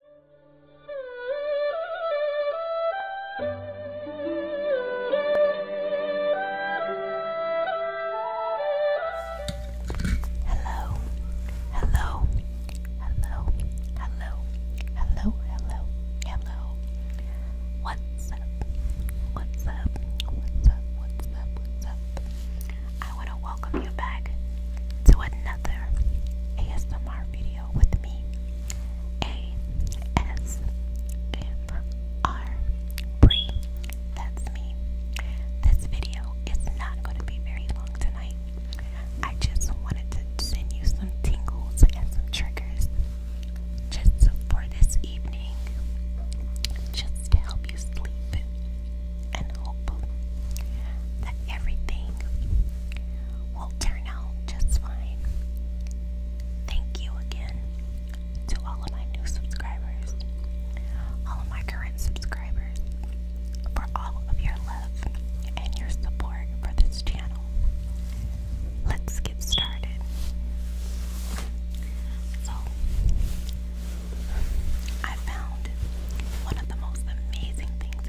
Hello, hello, hello, hello, hello, hello, hello. What's up? What's up? What's up? What's up? What's up? I want to welcome you back to another ASMR ASMR video with me. ASMR. that's me. This video is not going to be very long tonight. I just wanted to send you some tingles and some triggers just for this evening, just to help you sleep and hope that everything will turn out just fine. Thank you again to all of my new subscribers, all of my current subscribers, for all of your love and your support for this channel. Let's get started. So, I found one of the most amazing things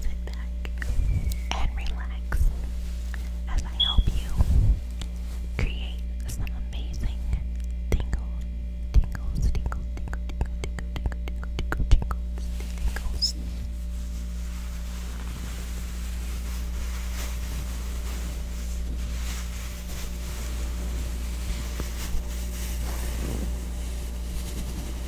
Sit back and relax as I help you create some amazing tingle, tingles, tingle, tingle, tingle, tingle, tingle, tingle, tingles, tingles.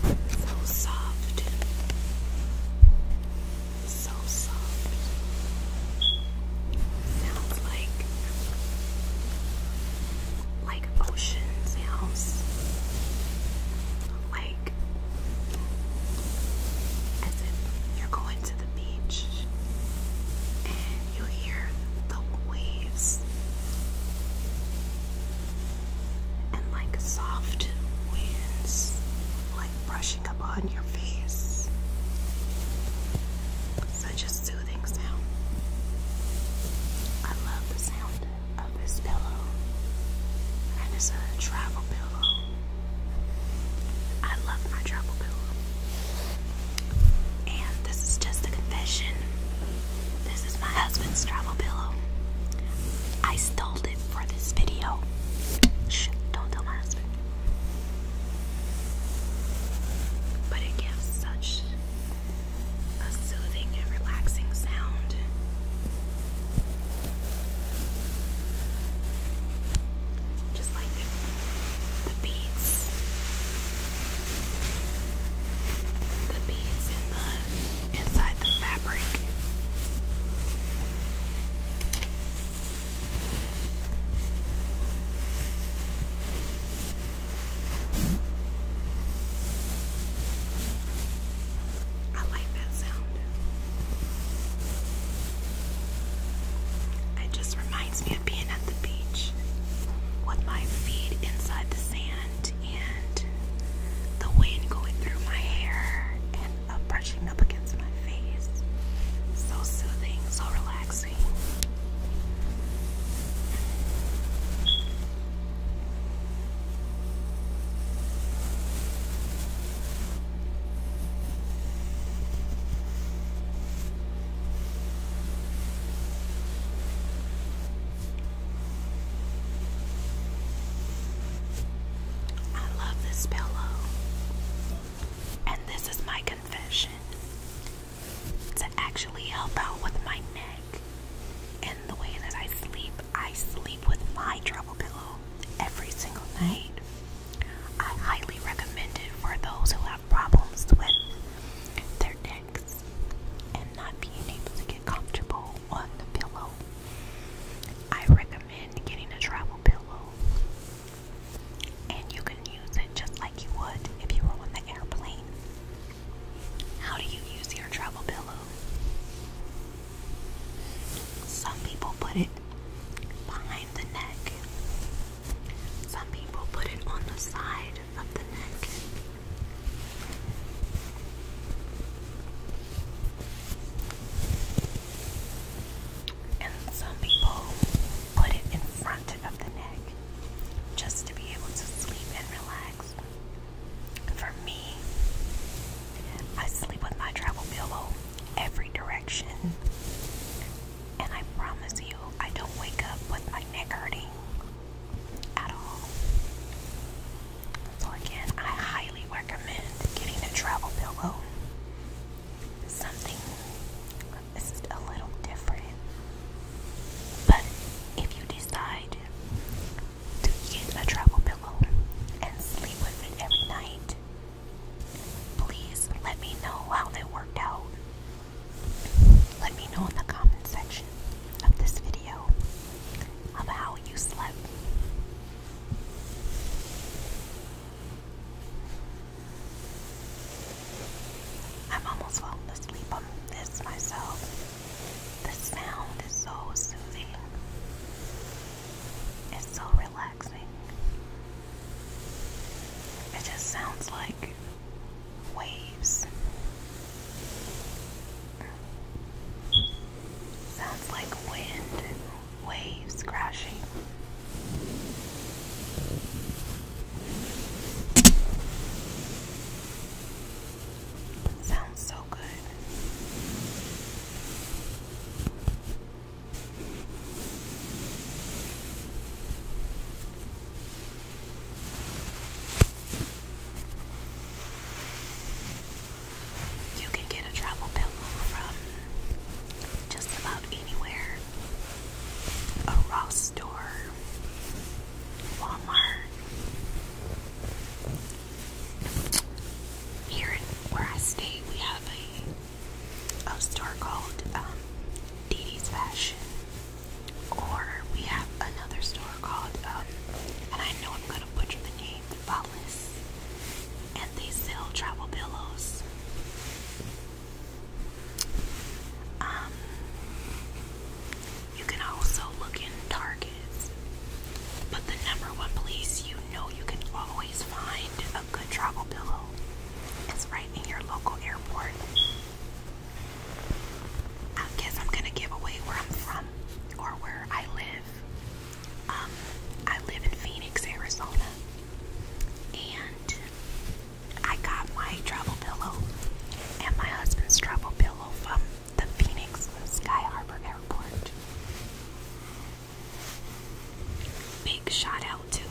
So soft, so soft. Sounds like like ocean sounds. Like as if you're going to the beach and you hear the waves and like soft winds like brushing up on your face. Such a soothing sound. I love the sound of this pillow. And it's a travel pillow. I love my travel pillow. And this is just a confession. This is my husband's travel pillow. I stole it for this video. Shh, don't tell my husband. But it gives such a soothing and relaxing sound. Just like the, the The beads inside the fabric. I like that sound. It just reminds me of being at the beach with my feet inside the sand and the wind going through my hair and of brushing up against my face. So soothing, so relaxing. I love this pillow and this is my confession to actually help out with my neck and the way that I sleep. I sleep with my travel pillow every single night. I highly recommend it for those who have problems with their necks and not being able to get comfortable on the pillow. I recommend getting a travel pillow and you can use it just like you would if you were on the airplane. How do you use your travel pillow? Some people put it behind the neck. Some people put it on the side of the neck and some people put it in front of the neck just to be able to sleep and relax. For me, I sleep with my travel pillow every direction, and I promise you, I don't wake up with my neck hurting at all. So, again, I highly recommend getting a travel pillow something this is a little different. But if you decide to get a travel pillow and sleep with it every night, please let me know how that worked out. Let me know in the comment section of this video of how you slept. I've almost fallen asleep on this myself. The sound is so soothing. It's so relaxing. It just sounds like waves. Sounds like wind waves crashing. Sounds so good. You can get a travel pillow from just about anywhere a Ross store, Walmart. Here in where I stay, we have a, a store called um, Dee Dee's Fashion, or we have another store called, um, and I know I'm gonna butcher the name, and they sell travel pillows. Um, you can also look in Targets, but the number one place you know you can always find a good travel pillow is right in your local airport. I guess I'm gonna give away where I'm from or where I live. Um, I live in Phoenix, Arizona, and I got my travel pillow and my husband's travel pillow from the Phoenix Sky Harbor Airport. Big shout out to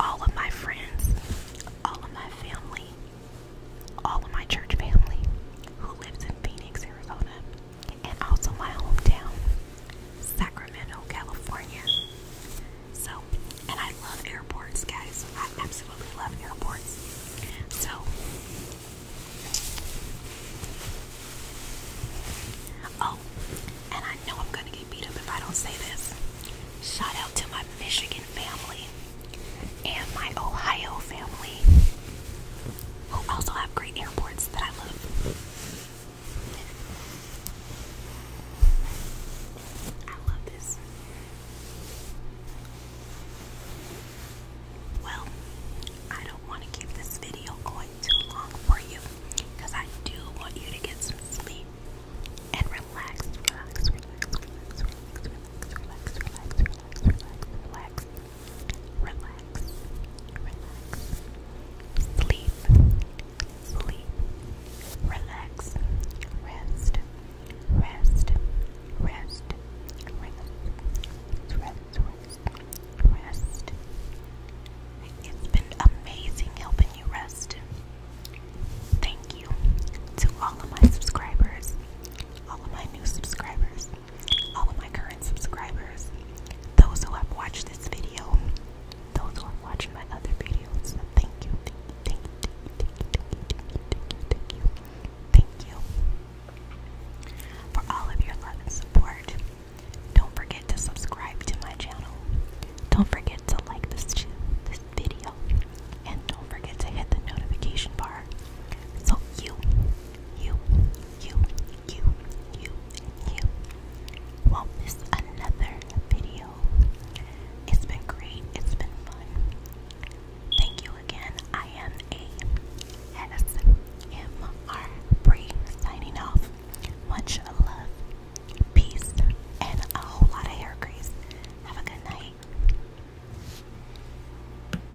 all of my friends, all of my family, all of my church family who lives in Phoenix, Arizona and also my hometown, Sacramento, California. So, and I love airports, guys. I absolutely love airports. So, oh, and I know I'm gonna get beat up if I don't say this. Shout out to my Michigan family and my Ohio family who also have great airports that I love. I love this. Well, I don't want to keep this video going too long for you because I do want you to get some sleep and relax relax, relax, sleep, sleep, relax, rest, rest, rest, rest, rest, rest, rest. It's been amazing helping you rest. Thank you to all of my subscribers, all of my new subscribers all of my current subscribers, those who have watched this video, those who have watched my other videos. Thank you, thank you, thank you, thank you, thank you, thank you, thank you, thank you for all of your love and support. Don't forget to subscribe to my channel. Don't forget to like this this video, and don't forget to hit the notification bar so you you, you, you, you, you won't miss another video. It's been great, it's been fun. Thank you again. I am a SMR Bree signing off. Much love, peace, and a whole lot of hair grease. Have a good night.